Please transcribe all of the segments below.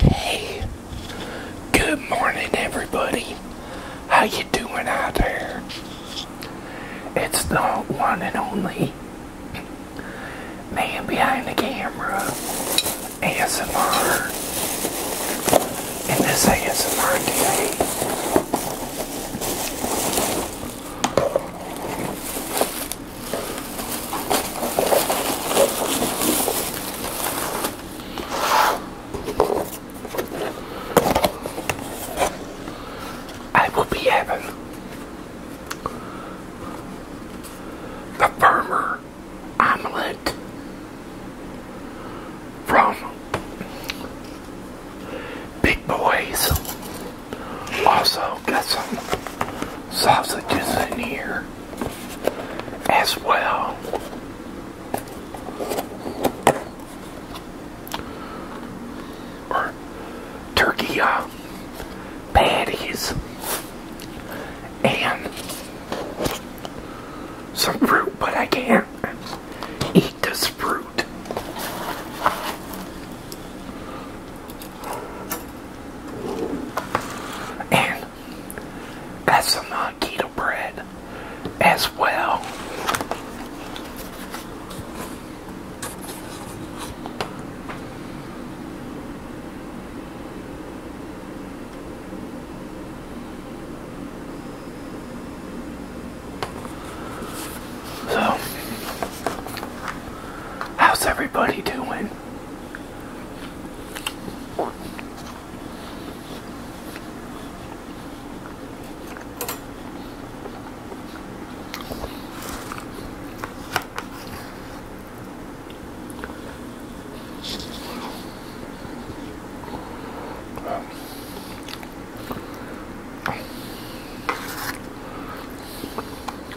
Hey, good morning everybody. How you doing out there? It's the one and only man behind the camera, ASMR. And this ASMR today I will be having the farmer omelette from Big Boys. Also got some sausages in here as well. Or turkey uh, patties and some fruit, but I can't eat this fruit. And got some keto bread as well. So, How's everybody doing?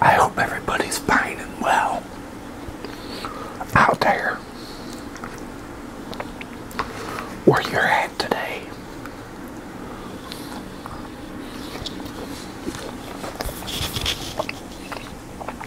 I hope everybody's fine and well out there where you're at today.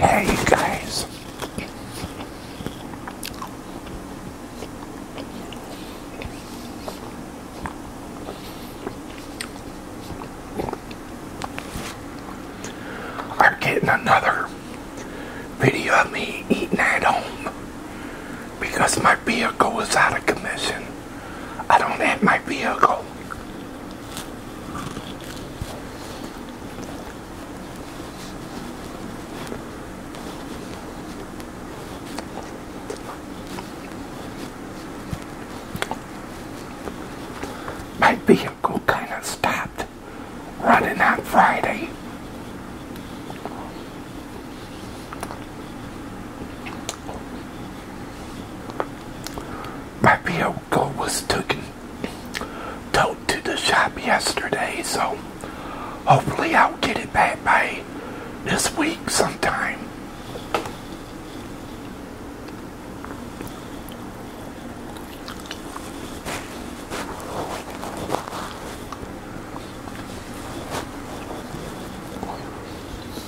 Hey, guys. we're getting another video of me eating at home because my vehicle is out of commission. I don't have my vehicle. My vehicle kind of stopped running that Friday. My vehicle was taken towed to the shop yesterday, so hopefully I'll get it back by this week sometime.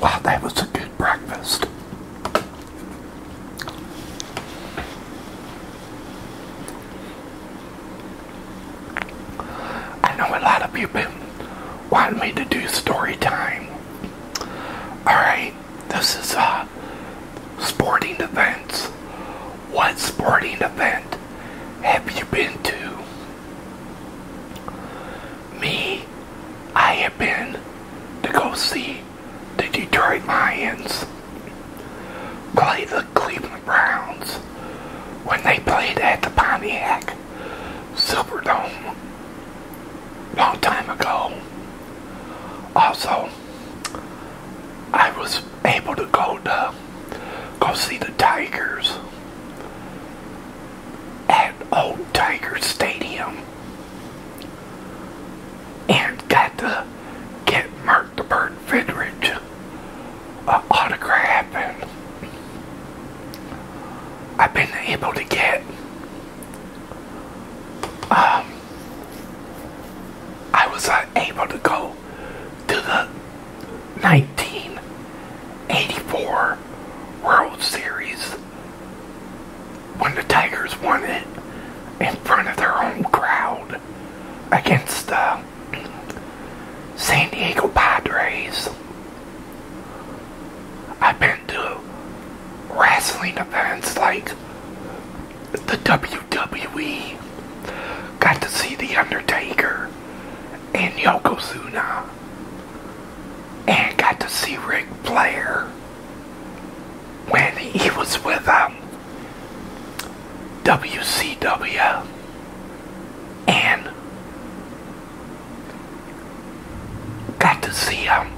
Wow, that was a good breakfast. I know a lot of people want me to do story time. Alright, this is a uh, sporting event. What sporting event have you been to? Me, I have been to go see the Detroit Lions play the Cleveland Browns when they played at the Pontiac Silverdome long time ago. Also, I was able to go to go see the Tigers at Old Tiger Stadium and got to get Mark the Bird Fidrich uh, autograph I've been able to get um, I was uh, able to go to the 1984 World Series when the Tigers won it in front of their home crowd against uh, San Diego Padres. I've been to wrestling events like the WWE. Got to see The Undertaker and Yokozuna. And got to see Ric Flair when he was with them. Um, WCW and got to see him.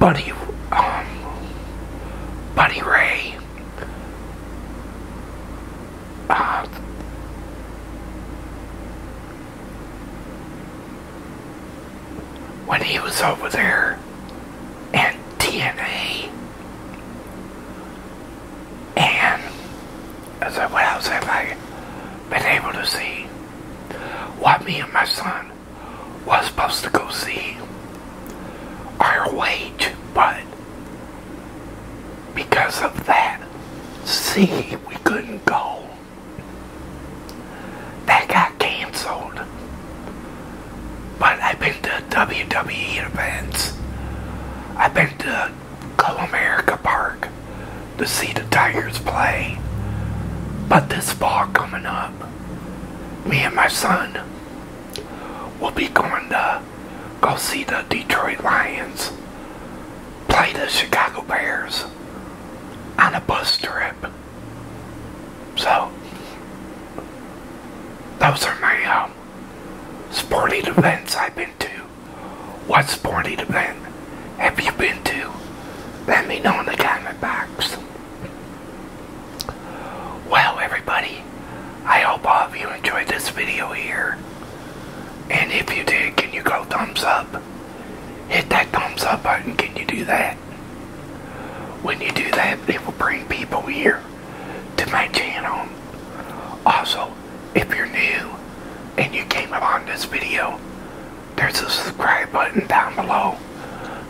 Buddy, um, Buddy Ray, uh, when he was over there at TNA. And I said, what i have been able to see? What me and my son was supposed to go see our wage, but because of that, see, we couldn't go that got canceled. But I've been to WWE events. I've been to Co America Park to see the Tigers play. But this fall coming up, me and my son will be going to go see the Detroit Lions play the Chicago Bears on a bus trip. So, those are my um, sporting events I've been to. What sporting event have you been to? Let me know in the comment box. Well, everybody, I hope all of you enjoyed this video here. And if you did, can you go thumbs up? Hit that thumbs up button. Can you do that? When you do that, it will bring people here to my channel. Also, if you're new and you came upon this video, there's a subscribe button down below.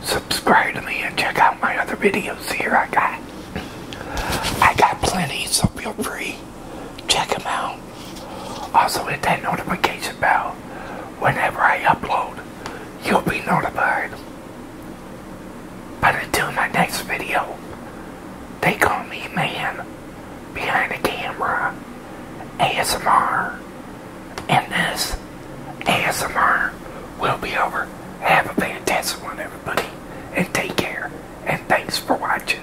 Subscribe to me and check out my other videos here I got. I got plenty, so feel free. Check them out. Also, hit that notification bell whenever I upload, you'll be notified. But until my next video, they call me man behind the camera, ASMR, and this ASMR will be over. Have a fantastic one, everybody, and take care, and thanks for watching.